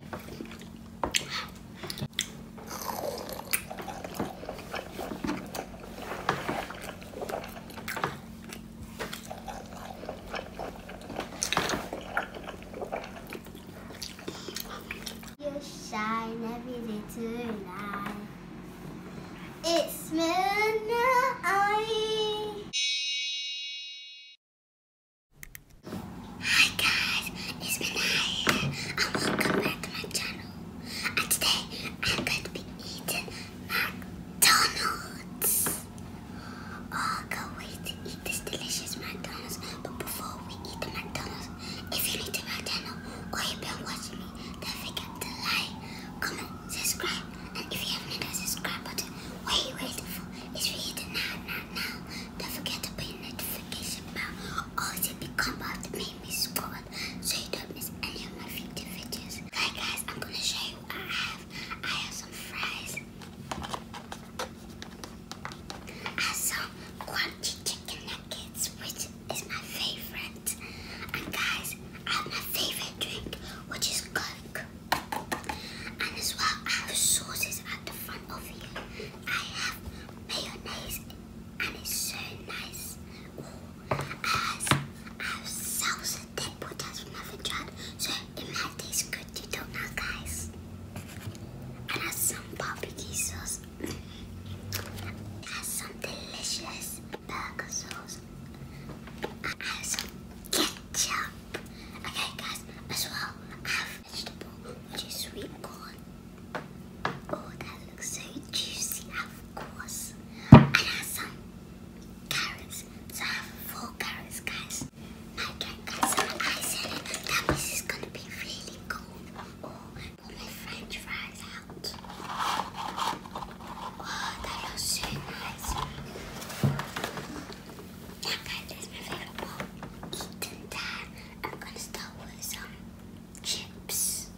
shine every day tonight. It's midnight. Hi guys, it's Mina here and welcome back to my channel. And today I'm going to be eating McDonald's. Oh, can't wait to eat this delicious McDonald's. But before we eat the McDonald's, if you're new to my channel or you've been watching me, don't forget to like, comment, subscribe. And if you haven't hit the subscribe button, what you waiting for? It's for you now, now, now. Don't forget to put notification bell. Also become part of the Mimi Squad so you don't miss any of my future videos. Alright guys, I'm gonna show you what I have. I have some fries. I have some crunchy chicken nuggets, which is my favorite. And guys, I have my favorite drink, which is Coke. And as well, I have sauces at the front of here. I have mayonnaise and it's so nice. I have salsa that has never tried, so it might taste good, you don't know guys. I have some barbecue sauce. I have some delicious burger sauce. I have some ketchup. Okay guys, as well have vegetable, which is sweet corn. Oh, that looks so juicy, of course. And has some carrots. So I have four carrots, guys. My dad got some ice in it. That gonna be really cold. Oh, put my french fries out. Oh, that looks so nice. Yeah, guys, that's my favorite Eating that. I'm gonna start with some chips.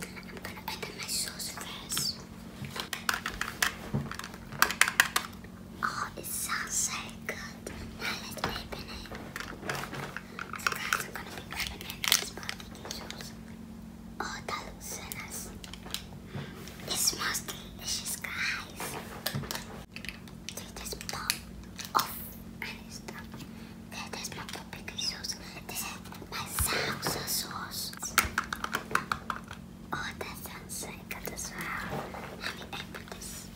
I'm gonna add in my sauce first. Oh, it sounds so good. Now let's open it. guys, I'm gonna be opening this barbecue sauce. Oh, that looks so nice. It smells delicious, guys. This is pop off and stuff. That is my barbecue sauce. This is my salsa sauce. Oh, that sounds really good as well. Have you ever this?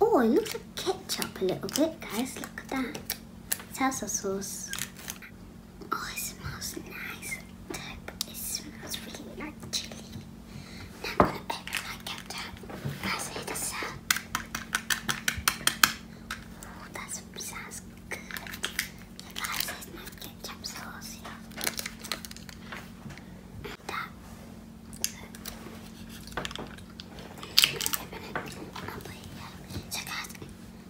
Oh, it looks like ketchup a little bit, guys. Look at that. Salsa sauce. Oh, it smells nice. It smells really like chili. Now I'm gonna paper that good. You guys, my ketchup sauce So guys,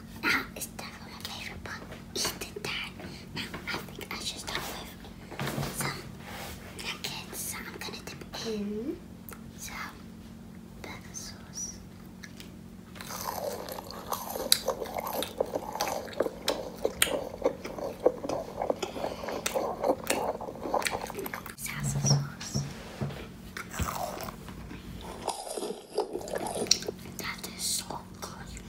now it's definitely my favorite part. Eating that. Now I think I should start some nuggets. I'm gonna dip in some butter sauce. Salsa sauce. That is so good.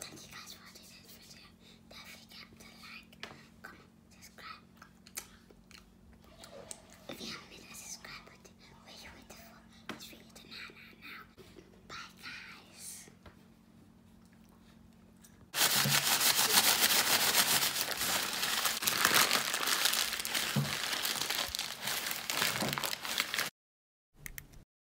thank you guys for watching this video. Don't forget to like, comment, subscribe. If you haven't been a are you waiting now. Bye guys.